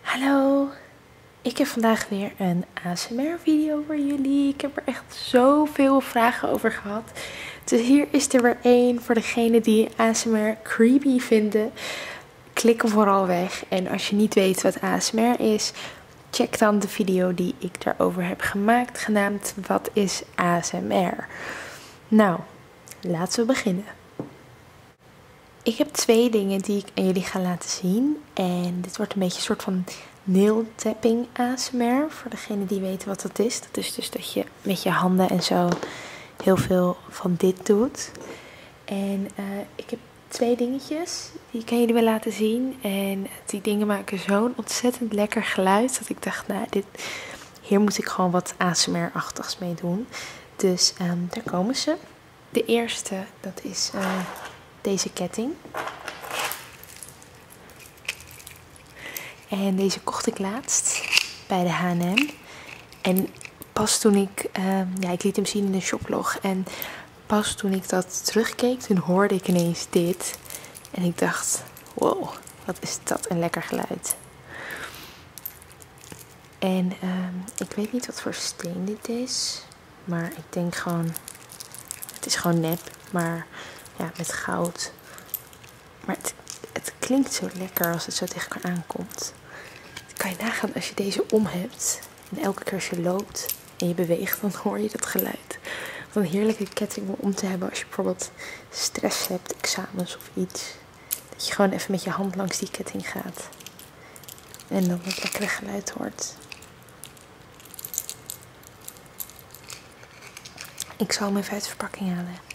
Hallo, ik heb vandaag weer een ASMR video voor jullie. Ik heb er echt zoveel vragen over gehad. Dus hier is er weer één voor degenen die ASMR creepy vinden. Klik er vooral weg. En als je niet weet wat ASMR is, check dan de video die ik daarover heb gemaakt, genaamd Wat is ASMR? Nou, laten we beginnen. Ik heb twee dingen die ik aan jullie ga laten zien. En dit wordt een beetje een soort van nail tapping ASMR. Voor degene die weten wat dat is. Dat is dus dat je met je handen en zo heel veel van dit doet. En eh, ik heb twee dingetjes die ik aan jullie wil laten zien. En die dingen maken zo'n ontzettend lekker geluid. Dat ik dacht, nou, dit, hier moet ik gewoon wat ASMR-achtigs mee doen. Dus ehm, daar komen ze. De eerste, dat is eh, deze ketting. En deze kocht ik laatst bij de H&M. En pas toen ik, ehm, ja ik liet hem zien in de shoplog. En pas toen ik dat terugkeek, toen hoorde ik ineens dit. En ik dacht, wow, wat is dat een lekker geluid. En ehm, ik weet niet wat voor steen dit is. Maar ik denk gewoon, het is gewoon nep. Maar ja, met goud. Maar het, klinkt zo lekker als het zo tegen elkaar aankomt. kan je nagaan als je deze om hebt. En elke keer als je loopt en je beweegt, dan hoor je dat geluid. Wat een heerlijke ketting om te hebben als je bijvoorbeeld stress hebt, examens of iets. Dat je gewoon even met je hand langs die ketting gaat. En dan het lekker geluid hoort. Ik zal hem even uit de verpakking halen.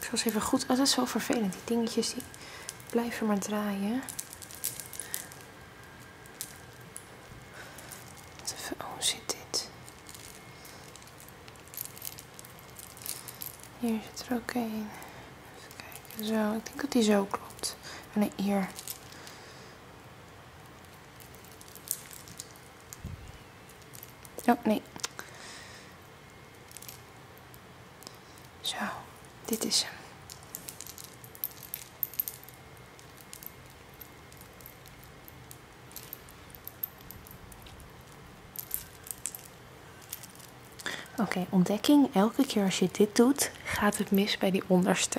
Ik zal ze even goed. Oh, Al is zo vervelend. Die dingetjes die blijven maar draaien. Even, oh, zit dit? Hier zit er ook een. zo. Ik denk dat die zo klopt. Nee, hier. Oh, nee. Zo, dit is hem. Oké, ontdekking. Elke keer als je dit doet, gaat het mis bij die onderste.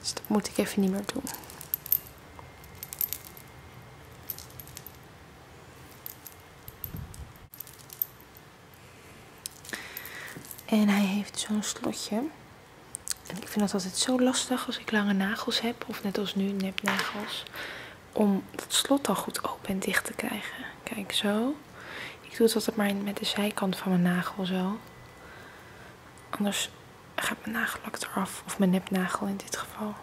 Dus dat moet ik even niet meer doen. En hij heeft zo'n slotje. En ik vind dat altijd zo lastig als ik lange nagels heb. Of net als nu, nepnagels om het slot al goed open en dicht te krijgen. Kijk, zo. Ik doe het altijd maar met de zijkant van mijn nagel zo. Anders gaat mijn nagellak eraf. Of mijn nepnagel in dit geval.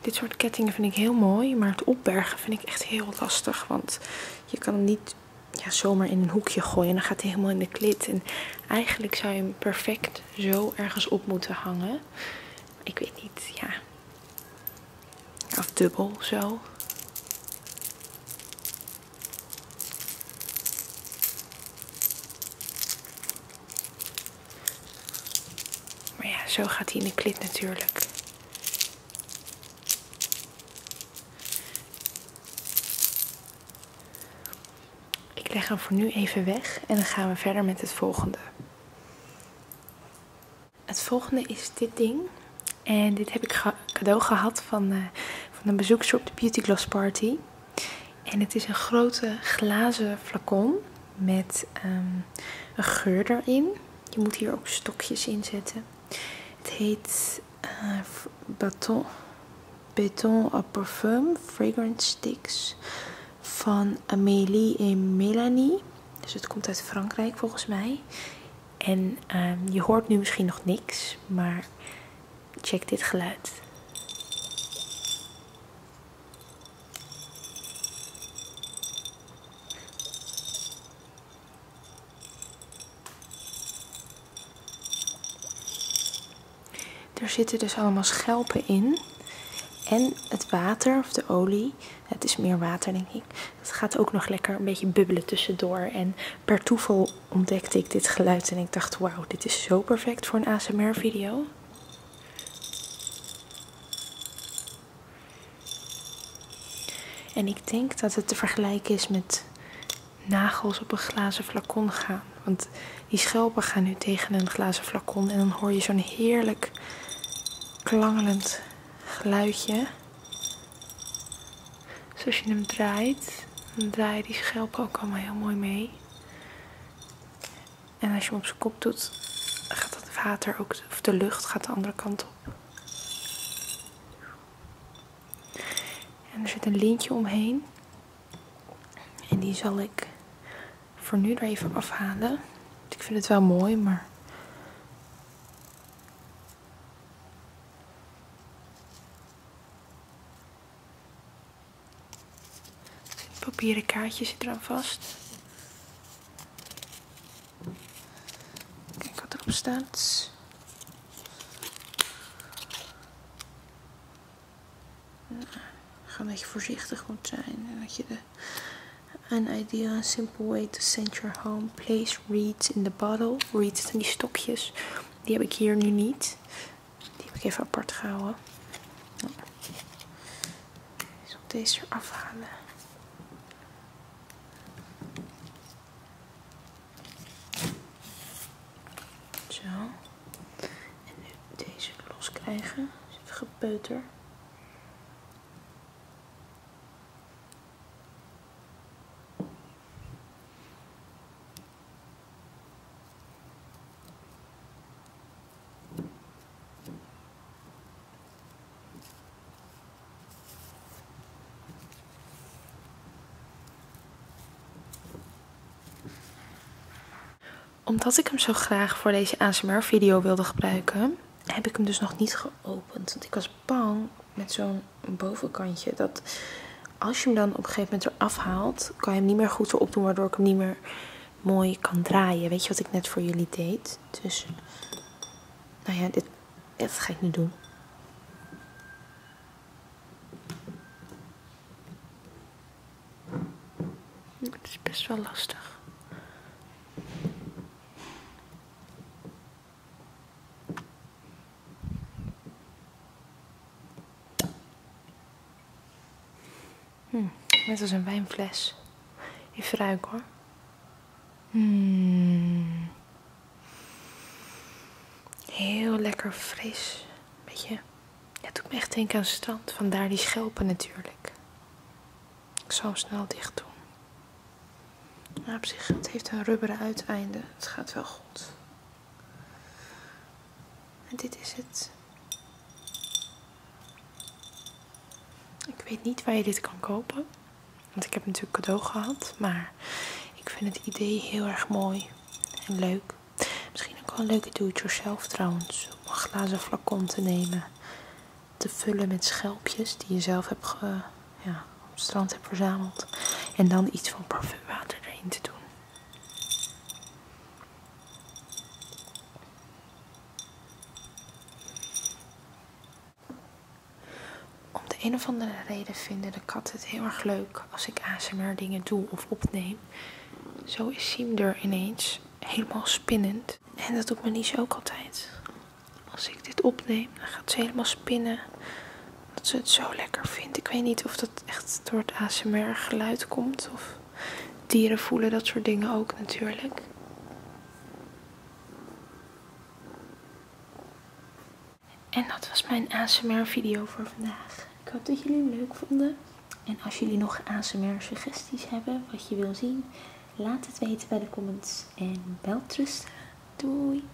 Dit soort kettingen vind ik heel mooi, maar het opbergen vind ik echt heel lastig. Want je kan hem niet ja, zomaar in een hoekje gooien. En dan gaat hij helemaal in de klit. En eigenlijk zou je hem perfect zo ergens op moeten hangen. Ik weet niet, ja. Of dubbel zo. Maar ja, zo gaat hij in de klit natuurlijk. Ik leg hem voor nu even weg en dan gaan we verder met het volgende. Het volgende is dit ding. En dit heb ik cadeau gehad van, eh, van een bezoekster op de Beauty Gloss Party. En het is een grote glazen flacon met ehm, een geur erin. Je moet hier ook stokjes in zetten. Het heet eh, Beton a Parfum Fragrance Sticks van Amélie en Melanie. Dus het komt uit Frankrijk volgens mij. En ehm, je hoort nu misschien nog niks, maar check dit geluid. Er zitten dus allemaal schelpen in. En het water of de olie, het is meer water denk ik, het gaat ook nog lekker een beetje bubbelen tussendoor. En per toeval ontdekte ik dit geluid en ik dacht wauw, dit is zo perfect voor een ASMR video. En ik denk dat het te vergelijken is met nagels op een glazen flacon gaan. Want die schelpen gaan nu tegen een glazen flacon en dan hoor je zo'n heerlijk klangelend geluidje. Dus als je hem draait, dan draai je die schelpen ook allemaal heel mooi mee. En als je hem op zijn kop doet, gaat het water ook, of de lucht gaat de andere kant op. En er zit een lintje omheen. En die zal ik voor nu er even afhalen. Ik vind het wel mooi, maar... papieren kaartje zit eraan vast. Kijk wat erop staat. Nou, gewoon dat je voorzichtig moet zijn en dat je de idea, a simple way to send your home. Place reeds in the bottle. Reeds zijn die stokjes. Die heb ik hier nu niet. Die heb ik even apart gehouden. Ik zal deze eraf halen. Zo. En nu deze los krijgen. Is dus het gepeuter omdat ik hem zo graag voor deze ASMR video wilde gebruiken, heb ik hem dus nog niet geopend. Want ik was bang met zo'n bovenkantje dat als je hem dan op een gegeven moment eraf haalt, kan je hem niet meer goed erop doen, waardoor ik hem niet meer mooi kan draaien. Weet je wat ik net voor jullie deed? Dus, nou ja, dit, ga ik nu doen. Het is best wel lastig. Hmm, net als een wijnfles. Even ruiken hoor. Hmm. Heel lekker fris. Beetje. Ja, het doet me echt denken aan het strand. Vandaar die schelpen natuurlijk. Ik zal hem snel dicht doen. Nou, op zich, het heeft een rubberen uiteinde. Het gaat wel goed. En dit is het. Ik weet niet waar je dit kan kopen. Want ik heb natuurlijk cadeau gehad. Maar ik vind het idee heel erg mooi en leuk. Misschien ook wel een leuke do-it-yourself trouwens. Om een glazen flacon te nemen. Te vullen met schelpjes die je zelf hebt op het strand hebt verzameld. En dan iets van parfumwater erin te doen. Om de een of andere reden vinden de kat het heel erg leuk als ik ASMR dingen doe of opneem. Zo is Siem er ineens helemaal spinnend. En dat doet zo ook altijd. Als ik dit opneem, dan gaat ze helemaal spinnen. Dat ze het zo lekker vindt. Ik weet niet of dat echt door het ASMR geluid komt. Of dieren voelen dat soort dingen ook natuurlijk. En dat was mijn ASMR video voor vandaag. Ik hoop dat jullie het leuk vonden. En als jullie nog ASMR suggesties hebben, wat je wil zien, laat het weten bij de comments. En wel Doei!